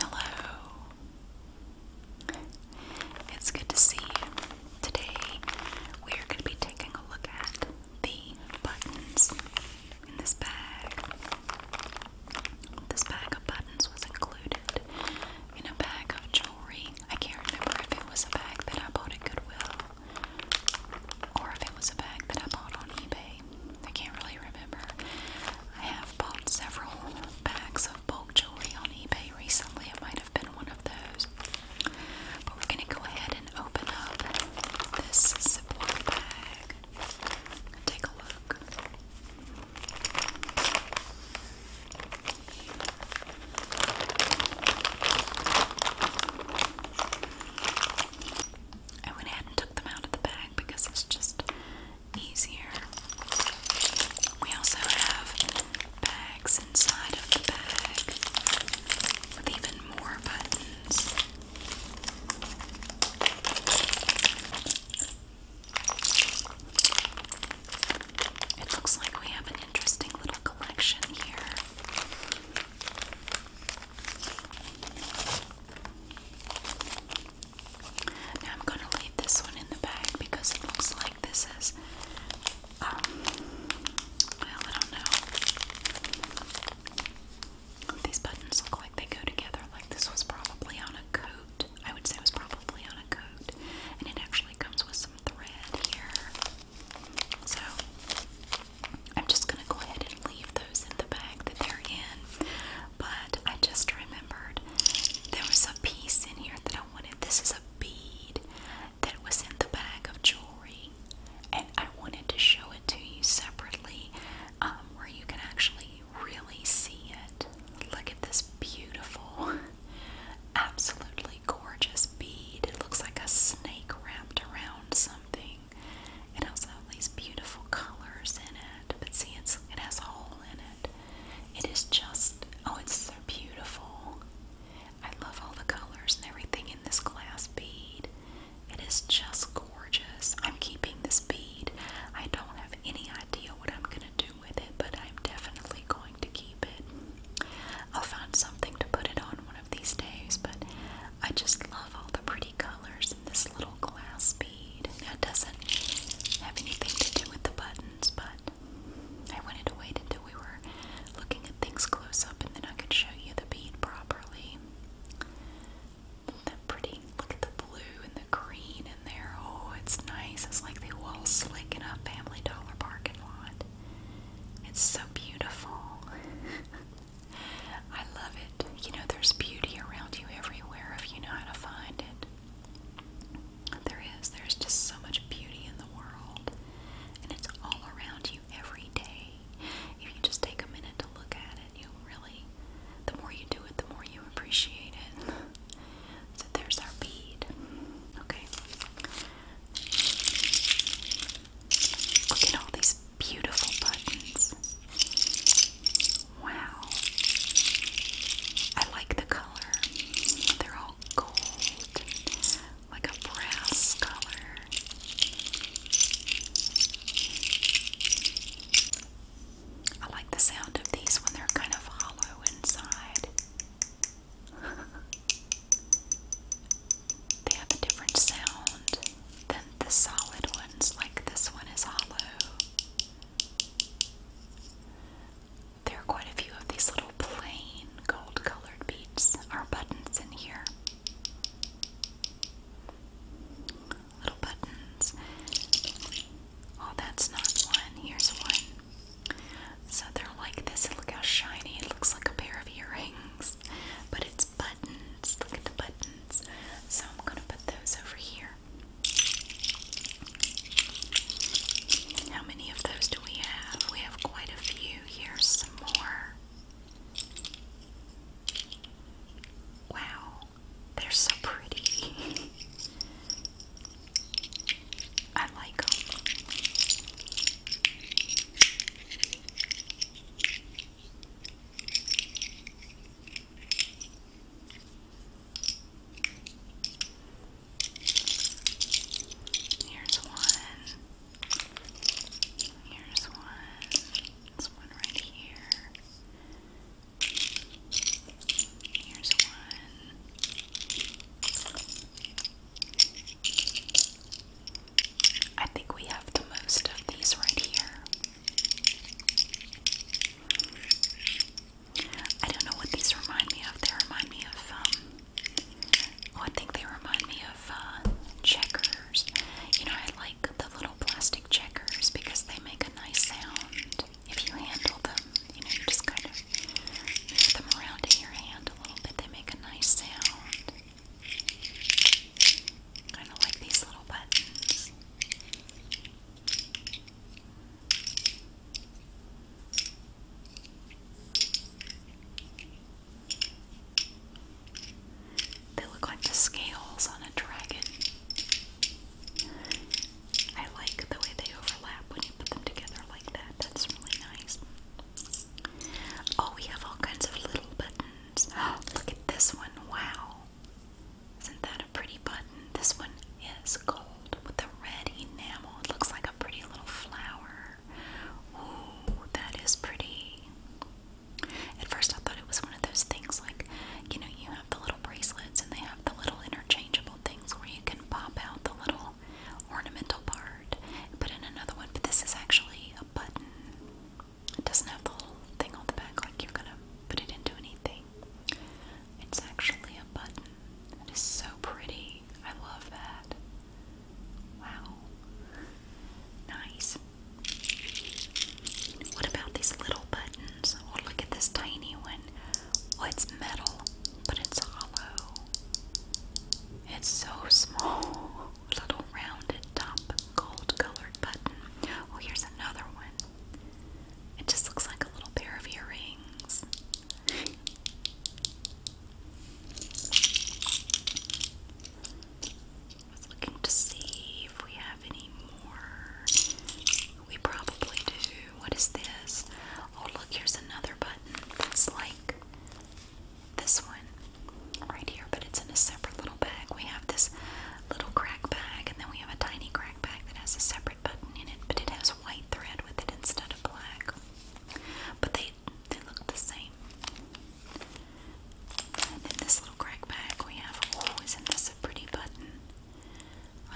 Hello. It's good to see you. Today we are going to be taking a look at the buttons in this bag. This bag of buttons was included in a bag of I can't remember if it was a bag that I bought at Goodwill or if it was a bag that I bought on eBay. I can't really remember. I have bought several bags of bulk jewelry on eBay recently. It might have been one of those. But we're going to go ahead and open up this Ziploc bag take a look. I went ahead and took them out of the bag because it's just easier. We also have bags inside of the bag with even more buttons. It looks like we have an interesting little collection here. Now I'm going to leave this one in the bag because it looks like this is, um, well, I don't know. These buttons look like they go together, like this was probably on a coat. I would say it was probably on a coat, and it actually comes with thread here. So I'm just going to go ahead and leave those in the bag that they're in. But I just remembered there was a piece in here that I wanted. This is a bead that was in the bag of jewelry, and I wanted to show it to you separately um, where you can actually really see it. Look at this beautiful Absolutely gorgeous bead. It looks like a snake wrapped around something. It has all these beautiful colors in it. But see, it's, it has a hole in it. It is just, oh, it's so beautiful. I love all the colors and everything in this glass bead. It is just gorgeous. I'm keeping this bead. I don't have any idea what I'm going to do but I'm definitely going to keep it. I'll find something to put it on one of these days, but I just love all the pretty colors in this little glass bead. That doesn't have anything to do with the buttons, but I wanted to wait until we were looking at things close up and then I could show you the bead properly. that pretty? Look at the blue and the green in there. Oh, it's nice. It's like the wall slick in a Family Dollar Park it's so beautiful. I love it. You know, there's beauty around you everywhere if you know how to find it. There is. There's just so much beauty in the world. And it's all around you every day. If you just take a minute to look at it, you'll really, the more you do it, the more you appreciate it. So there's our bead. Okay. Look at all these beautiful buttons. Wow. I like the color. They're all gold, like a brass color. I like the sound of these when they're kind of hollow inside they have a different sound than the solid ones, like this one is hollow. There are quite a few of these little plain gold colored beads or buttons in here. Little buttons. Oh, that's not one. Here's one. So they're like this. Look how shiny. It looks like a pair of earrings, but it's buttons. Look at the buttons. So I'm going to put those over here. How many of those do we have? We have quite a few. Here's some more. Wow, they're so pretty. I like them. Here's one. Here's one. This one right here. I think we have the most of these right here. I don't know what these remind me of. They remind me of, um, oh, I think they remind me of uh, checkers. You know, I like the little plastic checkers because they make a nice sound if you handle them, you know, you just kind of move them around in your hand a little bit. They make a nice sound. Kind of like these little buttons. They look like the scales on a dragon. I like the way they overlap when you put them together like that. That's really nice. Oh, we have all kinds of little buttons. Oh, look at this one. Wow. Isn't that a pretty button? This one is gold with the red enamel. It looks like a pretty little flower. Ooh, that is pretty. At first, I thought it was one of those things like, you know, you have the little bracelets and they have the little interchangeable things where you can pop out the little ornamental part and put in another one, but this is actually a button. It doesn't have the whole thing on the back like you're gonna put it into anything. It's actually a button. It is so pretty. I love that. Wow. Nice. What about these little buttons? Oh, look at this tiny one. Well, oh, it's metal, but it's hollow. It's so small. Little rounded top, gold colored button. Oh, here's another one. It just looks like a little pair of earrings. I was looking to see if we have any more we probably do. What is this? Oh, look, here's another button that's like this one right here, but it's in a separate little bag. We have this little crack bag, and then we have a tiny crack bag that has a separate button in it, but it has white thread with it instead of black. But they they look the same. And in this little crack bag we have, oh, isn't this a pretty button?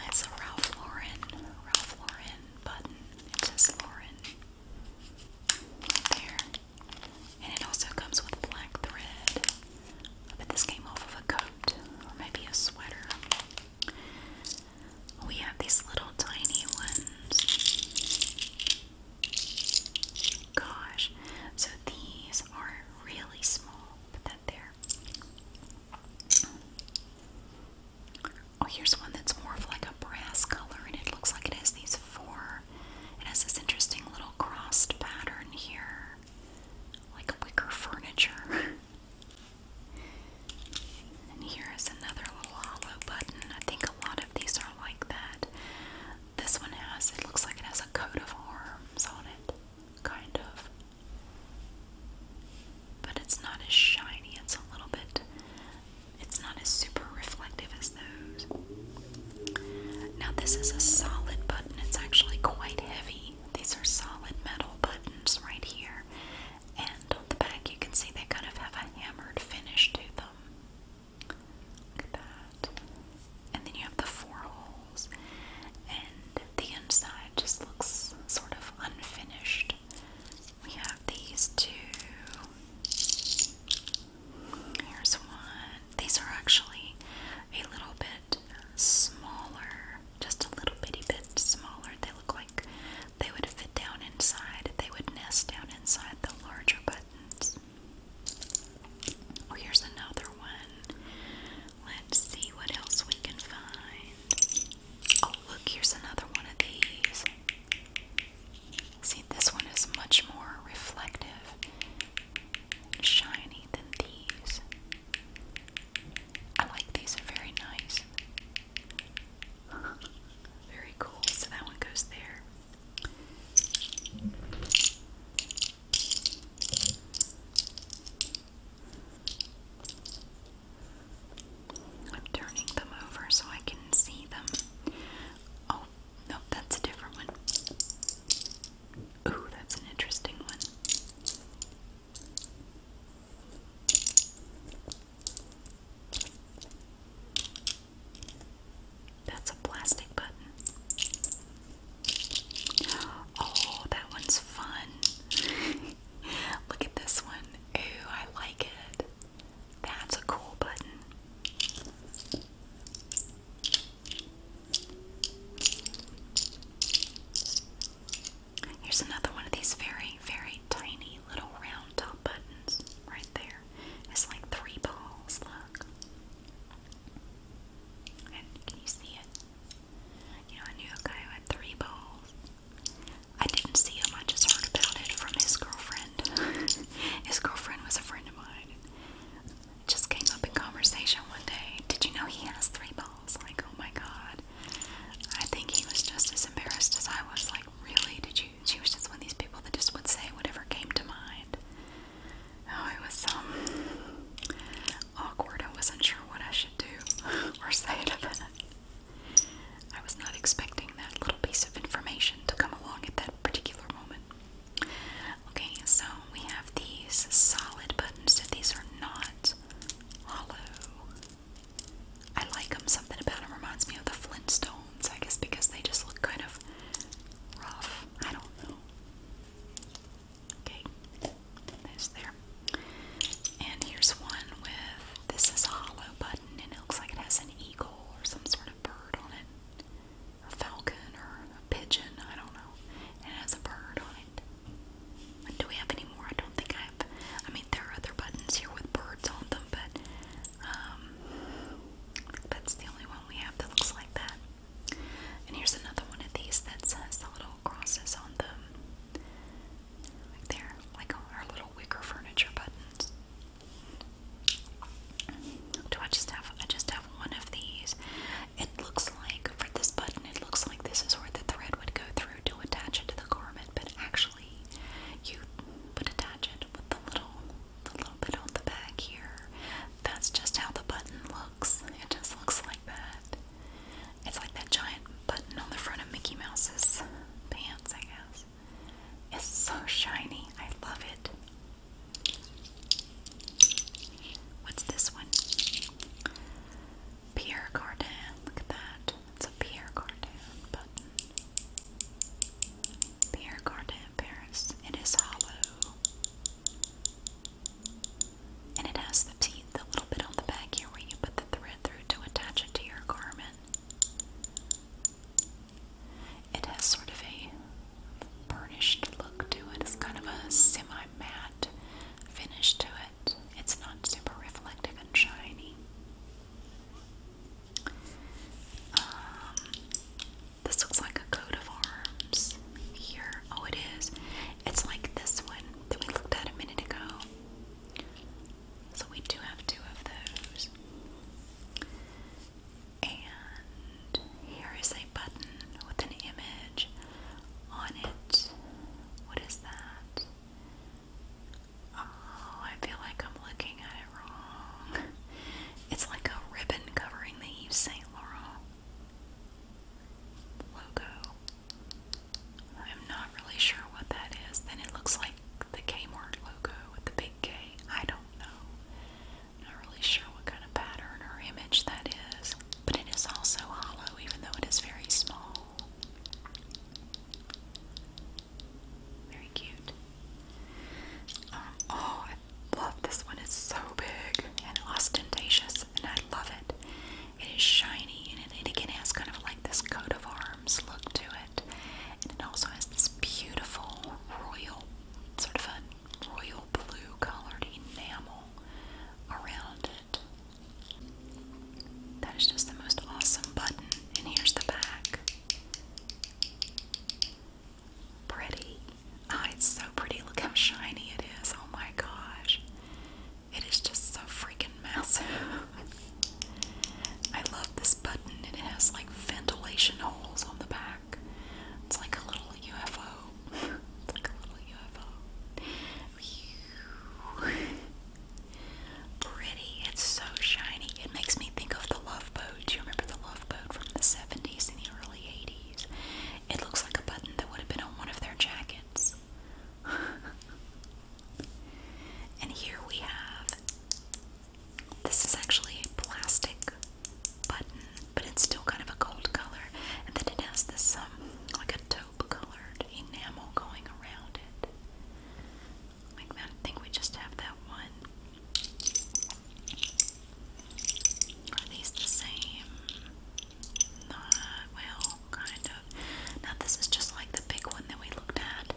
It's a Ralph Lauren, Ralph Lauren button. It says Lauren there. And it also comes with black thread. But this came off of a coat or maybe a sweater. We have these little tiny ones. Gosh. So these are really small. Put that there. Oh, here's one that's more of like a brass color, and it looks like it has these four. It has this interesting little crossed pattern here, like wicker furniture. and here is another little hollow button. I think a lot of these are like that. This one has, it looks like it has a coat of arms on it, kind of. But it's not as shiny, it's a little bit, it's not as super reflective as those. Now, this is a solid button, it's actually quite heavy. These are solid metal buttons right here, and on the back, you can see they kind of have a hammered finish to them. Look at that. And then you have the four holes, and the inside just looks sort of unfinished. We have these two. Here's one. These are actually a little bit smaller, just a little bitty bit smaller. They look like they would fit down inside, they would nest down inside the larger buttons. Oh, here's another one. Let's see what else we can find. Oh, look, here's another one of these. See, this one is much more reflective, shiny than these. I like these, very nice. Very cool. So that one goes there. I'm turning them over so I can see them. Oh, no, that's a different one. Ooh, that's an interesting one. That's a plastic button. Oh, that one's fun. Look at this one. Ooh, I like it. That's a cool button. Here's another one of these very, very tiny little round buttons right there. It's like three balls, look. can you see it? You know, I knew a guy who had three balls. I didn't see him, I just heard about it from his girlfriend. his girlfriend was a friend of mine. It just came up in conversation one day. Did you know he has three balls? Like, oh my god. I think he was just as embarrassed as I was. Like, really? Did you? She was just one of these people that just would say whatever came to mind. Oh, it was um awkward. I wasn't sure what I should do or say to that. I was not expecting that little piece of information to come along at that particular moment. Okay, so we have these solid buttons, so these are not hollow. I like them. Something about them reminds me of the Flintstones, I guess, because they just look kind of rough. I don't know. Okay, there's there. And here's one with this is a hollow button and it looks like it has an eagle or some sort of bird on it. A falcon or a pigeon, I don't know. And it has a bird on it. do we have any more? I don't think I have. I mean, there are other buttons here with birds on them, but um, that's the only one we have that looks like that. And here's another one of these that has the little crosses on them there, like our little wicker furniture buttons. Do I just have? I just have one of these. It looks like for this button, it looks like this is where the thread would go through to attach it to the garment, but actually, you would attach it with the little, the little bit on the back here. That's just how the button looks. It just looks like that. It's like that giant button on the front of Mickey Mouse's pants, I guess. It's so shiny. I love it. What's this one? Pierre Cardin. Look at that. It's a Pierre Cardin button. Pierre Cardin Paris. It is hollow. And it has the teeth, a little bit on the back here where you put the thread through to attach it to your garment. It has sort of a burnished look to it. It's kind of a semi-matte finish to it. It's not super reflective and shiny. Um, this looks like a coat of arms here. Oh, it is. It's like this one that we looked at a minute ago. So we do have two of those. And here is a button with an image on it. What is that? Oh, I feel like I'm looking at it wrong. It's like a ribbon covering the Saint Laurent logo. I'm not really sure what that is. Then it looks like the Kmart logo with the big K. I don't know. I'm not really sure what kind of pattern or image that is. But it is also hollow, even though it is very small. Very cute. Um, oh, I love this one. It's so big and ostentatious, and I love it. It is shiny and it, again has kind of like this coat of arms look to it. And it also has this beautiful royal, sort of a royal blue colored enamel around it. That is just the most awesome button. And here's the back. Pretty. Ah, it's so pretty. Look how shiny it is. Oh my gosh. It is just so freaking massive. I love this button. It has like ventilation holes on the back. It's like a little UFO. like a little UFO. Pretty. It's so shiny. It makes me think of the Love Boat. Do you remember the Love Boat from the 70s and the early 80s? It looks like a button that would have been on one of their jackets this. and here we have this is actually a plastic button, but it's still kind of a gold color. And then it has this um, like a taupe colored enamel going around it. Like that. I think we just have that one. Are these the same? Uh, well, kind of. Now, this is just like the big one that we looked at,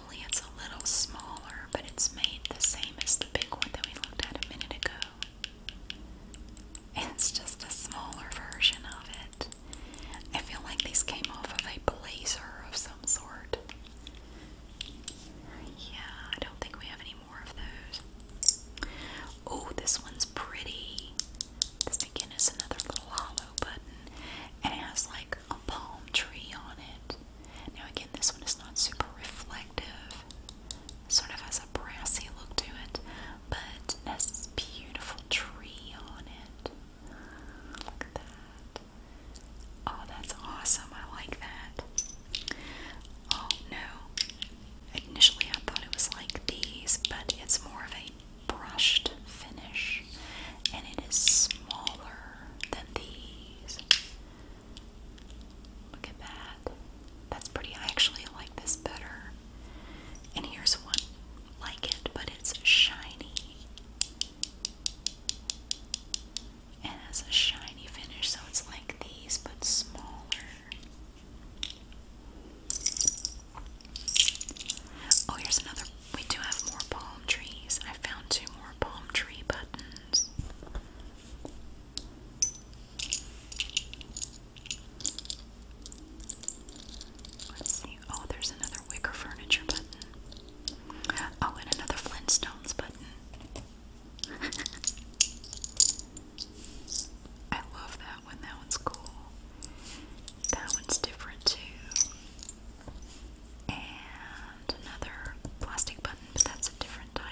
only it's a little smaller, but it's made the same as the big one that we looked at a minute ago. It's just a smaller version of it. I feel like these came off of a blazer of some sort. Yeah, I don't think we have any more of those. Oh, this one's pretty. This again is another little hollow button, and it has like a palm tree on it. Now, again, this one is not super reflective, sort of has a brassy look to it, but it has this beautiful tree on it. Look at that. Oh, that's awesome. I like that. Oh no, Initially, I thought it was like these, but it's more of a brushed finish, and it is smaller than these. Look at that. That's pretty. I actually like this better. And here's one like it, but it's shiny. And has a shiny finish, so it's like these, but smaller. Oh, here's another. We do have more palm trees. I found two more palm tree buttons. Let's see. Oh, there's another wicker furniture button. Oh, and another Flintstones button. I love that one. That one's cool. That one's different too. And another plastic button, but that's a different type.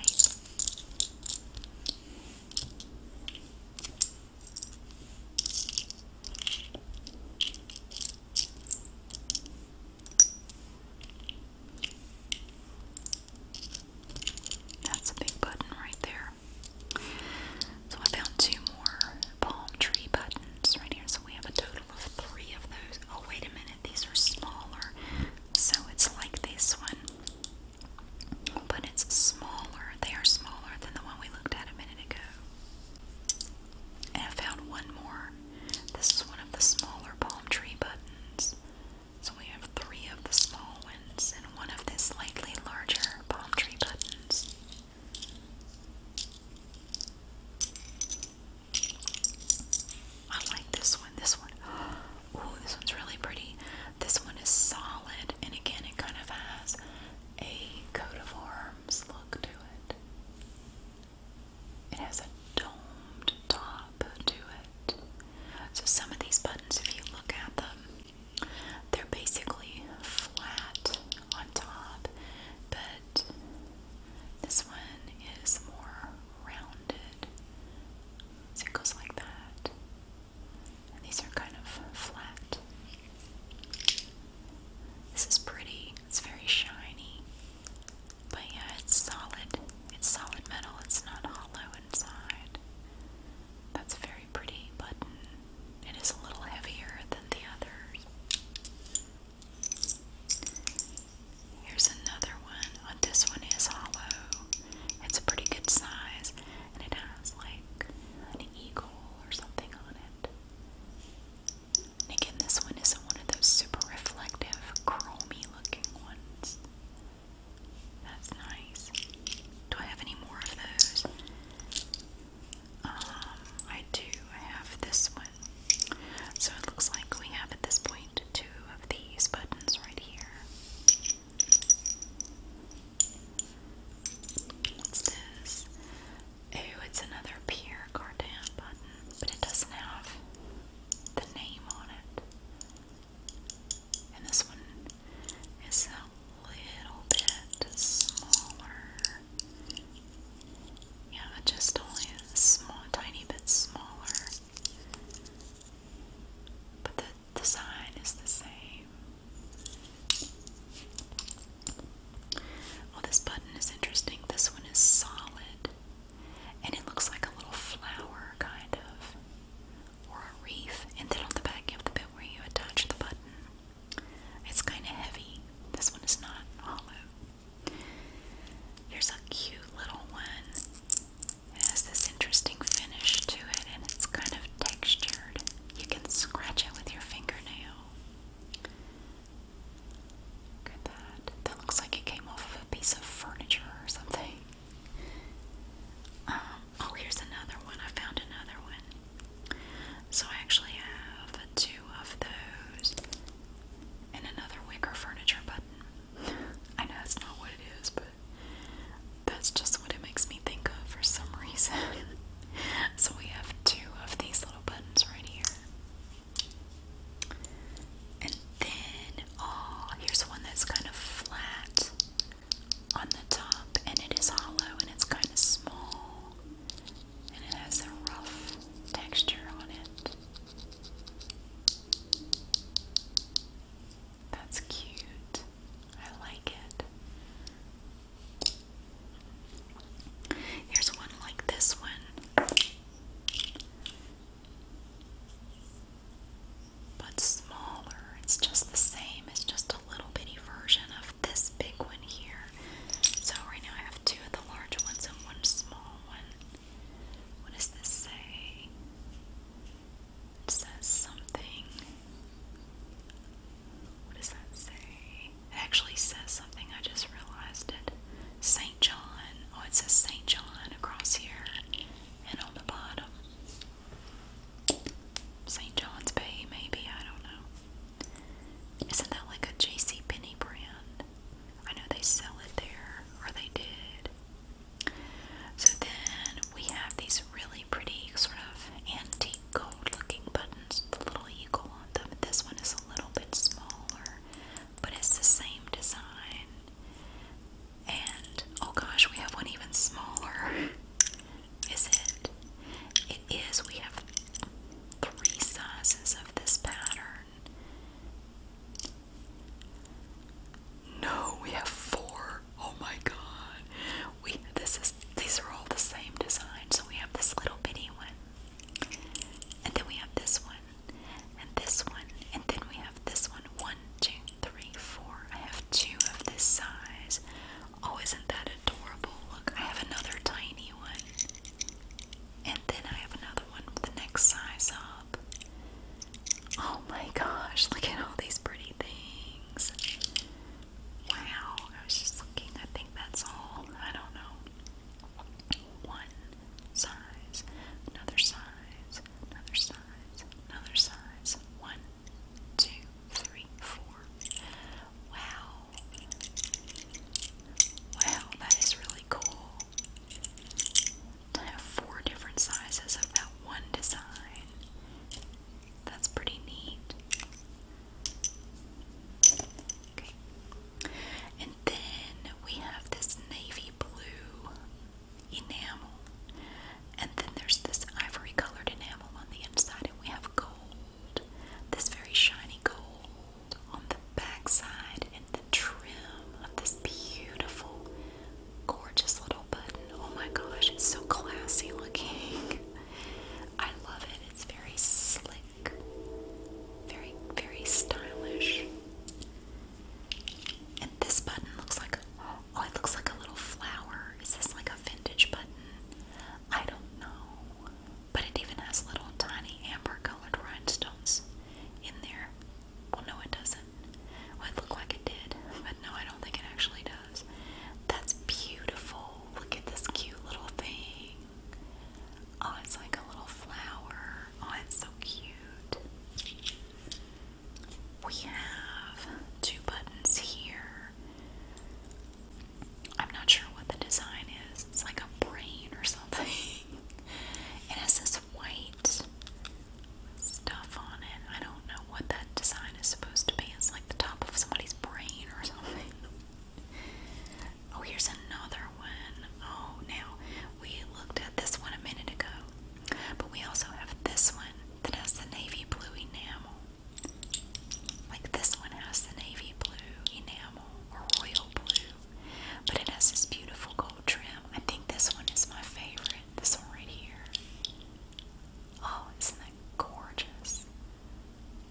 That's a big button right there. So I found two more palm tree buttons right here. So we have a total of three of those. Oh, wait a minute. These are smaller. So it's like this one, but it's smaller. They are smaller than the one we looked at a minute ago. And I found one more. This is one of the smaller palm tree buttons. So we have three of the small ones buttons and one of the slightly larger palm tree buttons. I like this one. This one. Ooh, this one's really pretty. This one is solid, and again, it kind of has a coat of arms look to it. It has a domed top to it. So, some of these buttons, if you look at them, they're basically flat on top, but this one is more rounded. So it goes like that. And these are kind of flat. This is pretty. It's very shiny. But yeah, it's solid. It's solid metal. It's not hollow inside. That's a very pretty button. It is a little heavier than the others. Here's another one. Oh, this one is hollow. It's a pretty good size and it has like an eagle or something on it. again, this one isn't one of those super reflective, chromey looking ones. That's nice. Do I have any more of those? Um, I do. have this one. So it looks like we have at this point two of these buttons right here. What's this? Oh, it's another Pierre Cardin button, but it doesn't have the name on it. And this one is a little bit smaller. Yeah, just only a small, tiny bit smaller. But the design is the same. Oh, this button is interesting. This one is solid. And it looks like a little flower, kind of or a reef, and then on the back you have the bit where you attach the button. It's kind of heavy. This one is not hollow. Here's a cute little one. It has this interesting finish to it, and it's kind of textured. You can scratch it with your fingernail. Look at that. That looks like it came off of a piece of furniture or something. Um, oh, here's another one. I found another one. So I actually have two of those and another wicker furniture button. I know that's not what it is, but that's just what it makes me think of for some reason. so we have two of these little buttons right here. And then, oh, here's one that's kind of flat on the top, and it is hollow and it's kind of small, and it has a rough texture on it. That's cute. I like it. Here's one like this one but smaller. It's just the same, it's just a little bitty version of this big one here. So, right now I have two of the large ones and one small one. What does this say? It says something. What does that say? It actually says something, I just realized it. St. John. Oh, it says St. John across here and on the bottom. St. John's Bay, maybe, I don't know. Isn't that like a Penney brand? I know they sell it there, or they did. So then we have these really pretty sort of antique gold looking buttons little eagle on them. This one is a little bit smaller, but it's the same design. And oh gosh, we have one even smaller. Is it? It is. We have three sizes of this pattern. No, we have four. Oh my god. We this is these are all the same design. So we have this little bitty one. And then we have this one. And this one. And then we have this one. One two, three, four. I have two of this size. Oh, isn't that adorable? Look, I have another tiny one. And then I have another one with the next size up. Oh my gosh, look at all these pretty things. Wow, I was just looking. I think that's all. I don't know. One size, another size, another size, another size, one two, three, four. Wow. Wow, that is really cool. I have four different sizes of that one design. That's pretty neat. Okay. And then we have this navy blue enamel. And then there's this ivory colored enamel on the inside, and we have gold, this very shiny gold on the back and the trim of this beautiful, gorgeous little button. Oh my gosh, it's so classy looking. I love it. It's very slick, very, very stylish this button looks like oh, it looks like a little flower. Is this like a vintage button? I don't know. But it even has little tiny amber colored rhinestones in there. Well, no, it doesn't. Well, it looked like it did, but no, I don't think it actually does. That's beautiful. Look at this cute little thing. Oh, it's like a little flower. Oh, it's so cute we have two buttons here. I'm not sure what the design is. It's like a brain or something. it has this white stuff on it. I don't know what that design is supposed to be. It's like the top of somebody's brain or something. Oh, here's another one. Oh, now we looked at this one a minute ago. But we also have this one that has the navy blue enamel. Like this one has the navy blue enamel or royal blue. But it has this beautiful gold trim. I think this one is my favorite. This one right here. Oh, isn't that gorgeous?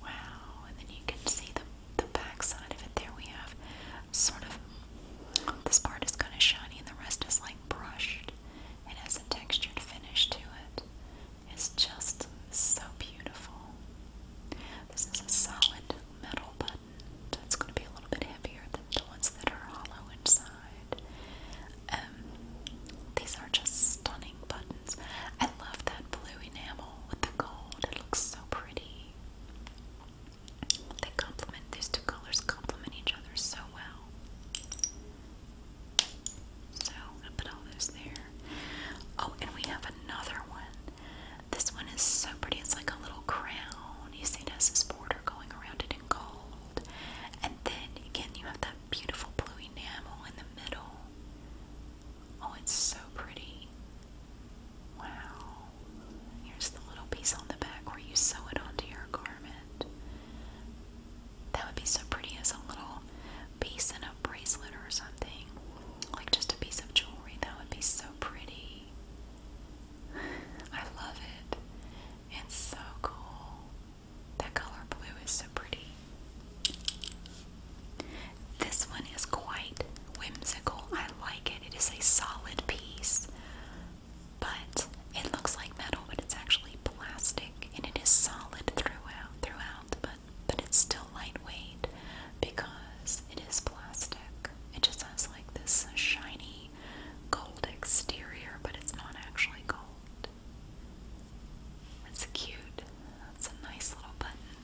Wow. And then you can see the, the back of it. There we have sort of this part is kind of shiny and the rest is like brushed. It has a textured finish to it. It's just so beautiful. This is a solid metal button. So it's going to be a little bit heavier than the ones that are hollow inside. Um, these are just stunning buttons. I love that blue enamel with the gold. It looks so pretty. They complement these two colors complement each other so well. So i put all those there. Oh, and we have another one. This one is so pretty. It's like a little crown. You see it has this border going around it in gold. And then again you have that beautiful blue enamel in the middle. Oh, it's so pretty. Wow. Here's the little piece on the back where you sew it onto your garment. That would be so pretty as a little piece in a bracelet or something. Like just a piece of jewelry. That would be so pretty. I love it. It's so cool. That color blue is so pretty. This one is quite whimsical. I like it. It is a solid piece but it looks like metal, but it's actually plastic, and it is solid throughout. Throughout, but but it's still lightweight because it is plastic. It just has like this shiny gold exterior, but it's not actually gold. It's cute. That's a nice little button.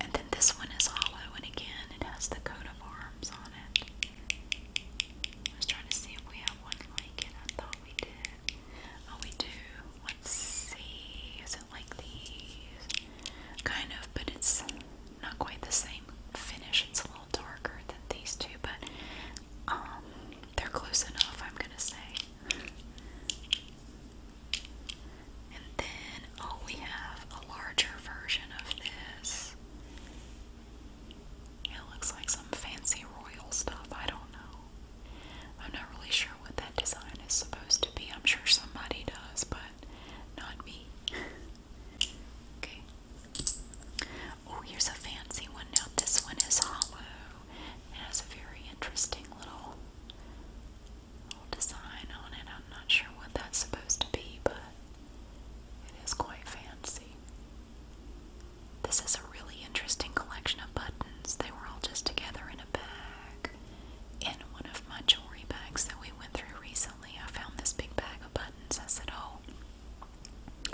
And then this one is hollow, and again, it has the coat arms on it. I was trying to see if we have one like it. I thought we did. Oh, we do. Let's see. Is it like these? Kind of, but it's not quite the same finish. It's a little darker than these two, but um, they're close enough, I'm gonna say. And then Oh, we have a larger version of this. It looks like some fancy royal stuff. I don't know. I'm not really sure what that design is supposed to be. I'm sure somebody does, but not me. okay. Oh, here's a fancy one. Now, this one is hollow. It has a very interesting little, little design on it. I'm not sure what that's supposed to be, but it is quite fancy. This is a really interesting collection of buttons. They were all just together in a bag. In one of my jewelry bags that we went through recently, I found this big bag of buttons. I said, Oh,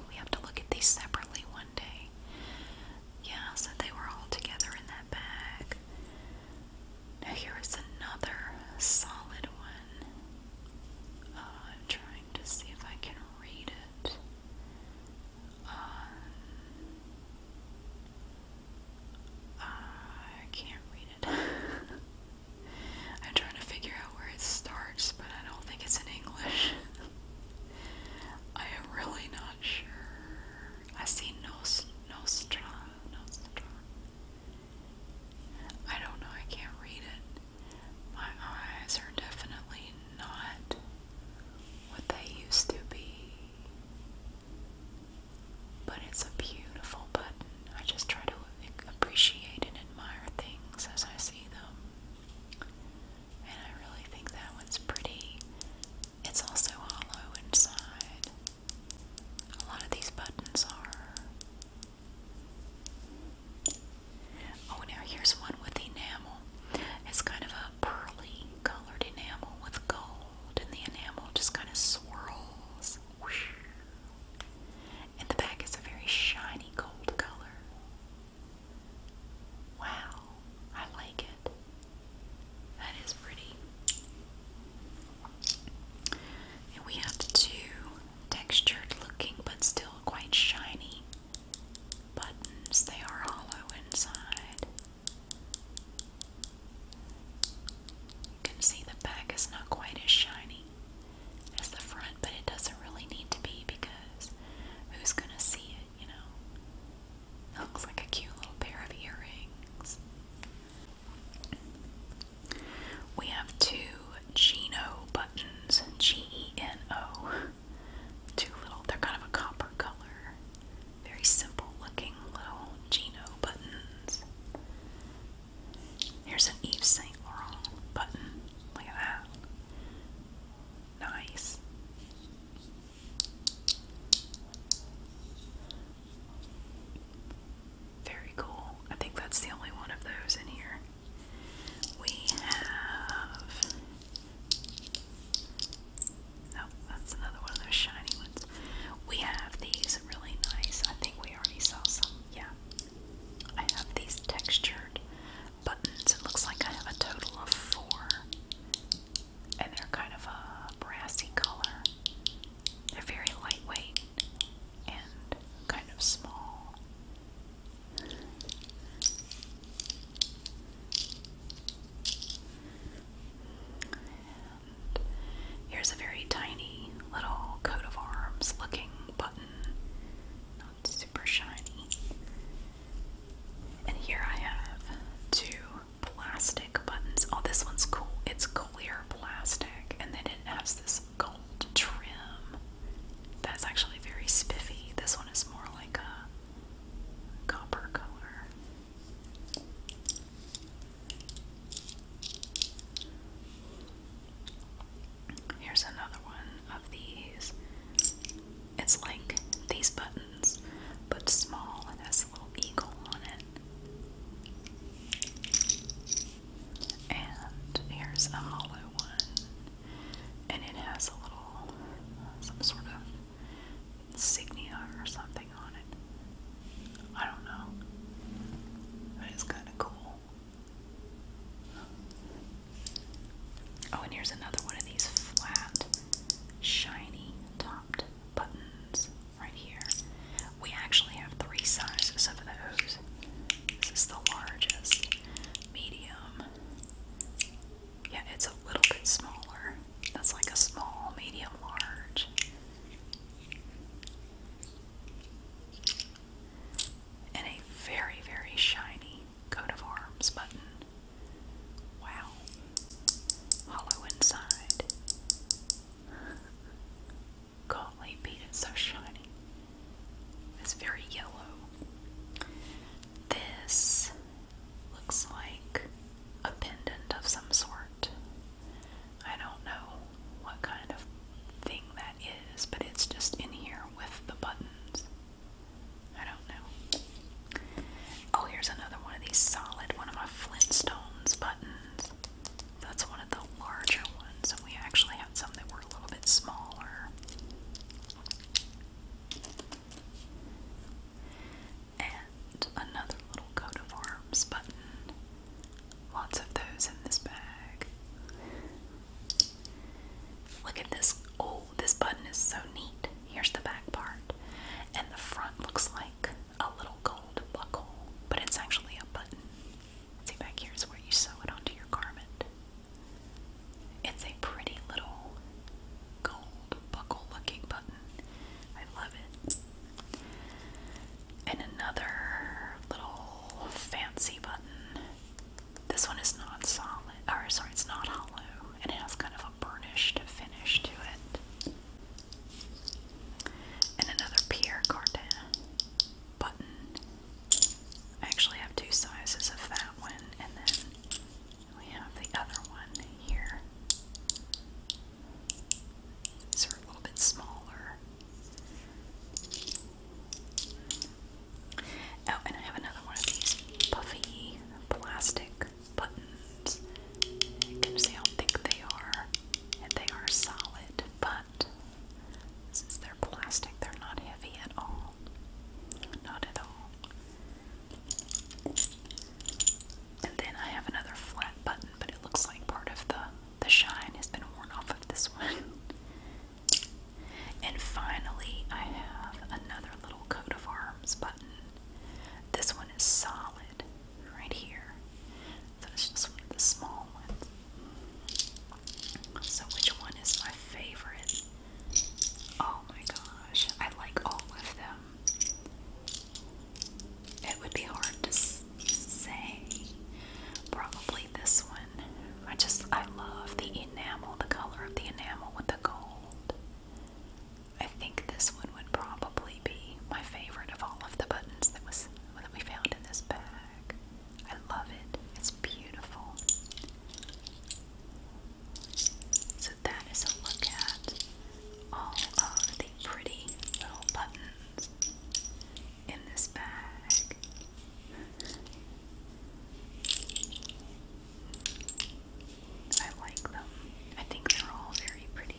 we have to look at these separately one day. Yeah, so they were all together in that bag. Now, here is another solid one. Uh, I'm trying to see if I can read it. Uh, I can't read it. I'm trying to figure out where it starts, but I don't think it's in English. I am really not sure. I see Nostra, Nostra, Nostra, I don't know, I can't read it. My eyes are definitely not what they used to be. But it's a beautiful button. I just try to appreciate and admire things as I see them. And I really think that one's pretty. It's also hollow inside. A lot of these buttons are. Oh, now here's one with enamel. It's kind of a pearly colored enamel with gold, and the enamel just kind of swirls. And the back is a very shiny gold color. Wow, I like it. That is pretty we have two textured looking but still quite shiny buttons. They are hollow inside. You can see the back is not quite as shiny as the front, but it doesn't really need to be because who's gonna see it, you know? It looks like a cute little pair of earrings. We have two Geno buttons, G E N O. Two little, they're kind of a copper color. Very simple looking little Geno buttons. Here's an Eve Saint Laurent button. Look at that. Nice. Very cool. I think that's the only one of those in here. We have. Oh, that's another one of those shiny ones. We have these really nice. I think we already saw some. Yeah. I have these textured buttons. It looks like I have a total of four. And they're kind of a brassy color. They're very lightweight and kind of small. here's a very tiny little coat of arms looking button. Not super shiny. And here I have two plastic buttons. Oh, this one's cool. It's clear plastic and then has this gold trim that's actually very spiffy. This one is more like a copper color. Here's another one of these. It's like these buttons, but small and has a little eagle on it. And here's a hollow one. And it has a little, some sort of insignia or something on it. I don't know. That is kind of cool. Oh, and here's another one of these flat, shiny topped buttons right here. We actually have three sizes of those. This is the largest, medium. Yeah, it's a little bit smaller. That's like a small, medium, large. And a very, very shiny coat of arms button. Wow. Hollow inside. Golly, beat so shiny. It's very yellow. This looks like a pendant of some sort. I don't know what kind of thing that is, but it's just in here with the buttons. I don't know. Oh, here's another one of these solid, one of my Flintstones buttons. That's one of the larger ones, and we actually had some that were a little bit smaller. And another little coat of arms button. Lots of those in this bag. Look at this. Oh, this button is so neat. Here's the back part. And the front looks like a little gold buckle, but it's actually a button. See, back here is where you sew it onto your garment. It's a pretty little gold buckle looking button. I love it. And another little fancy button. This one is not solid, or sorry, it's not hollow, and it has kind of a burnished finish to it. And another Pierre Cardin button. I actually have two sizes of that one, and then we have the other one here. These are a little bit smaller. Oh, and I have another one of these puffy plastic buttons. You can see how thick they are, and they are solid but since they're plastic, they're not heavy at all. Not at all. And then I have another flat button, but it looks like part of the the shine has been worn off of this one. And finally, I have another little coat of arms button. This one is solid right here. So it's just one of the small ones. So which one is my favorite? Oh my gosh, I like all of them. It would be hard to say. Probably this one. I just, I love the enamel, the color of the enamel with the gold. I think this one would probably be my favorite of all of the buttons that was that we found in this bag. I love it. It's beautiful. So that is a look at all of the pretty little buttons in this bag. I like them. I think they're all very pretty.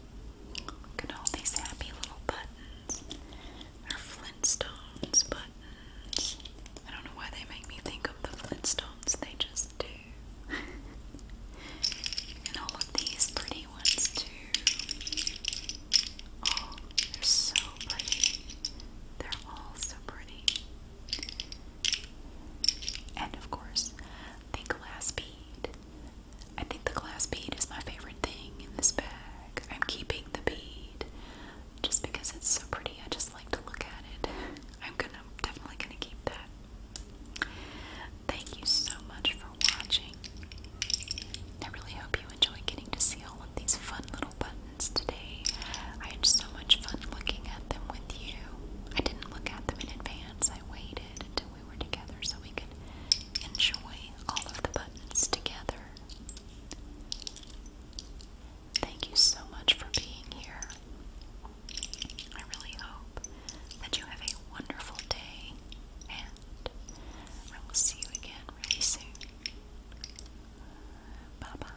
Look at all these happy little buttons. They're Flintstones buttons. I don't know why they make me think of the Flintstones, they just do. and all of these pretty ones, too. Oh, they're so pretty. They're all so pretty. And of course, the glass bead. I think the glass bead is my favorite thing in this bag. I'm keeping the bead just because it's so pretty. I just like to look at it. I'm gonna definitely gonna keep that. Thank you so much for watching. I really hope you enjoy getting to see all of these fun little buttons today. I had so much fun looking at them with you. I didn't look at them in advance. I waited until we were together so we could enjoy all of the buttons together. Thank you so much for being here. I really hope that you have a wonderful day, and I will see you again really soon. Bye bye.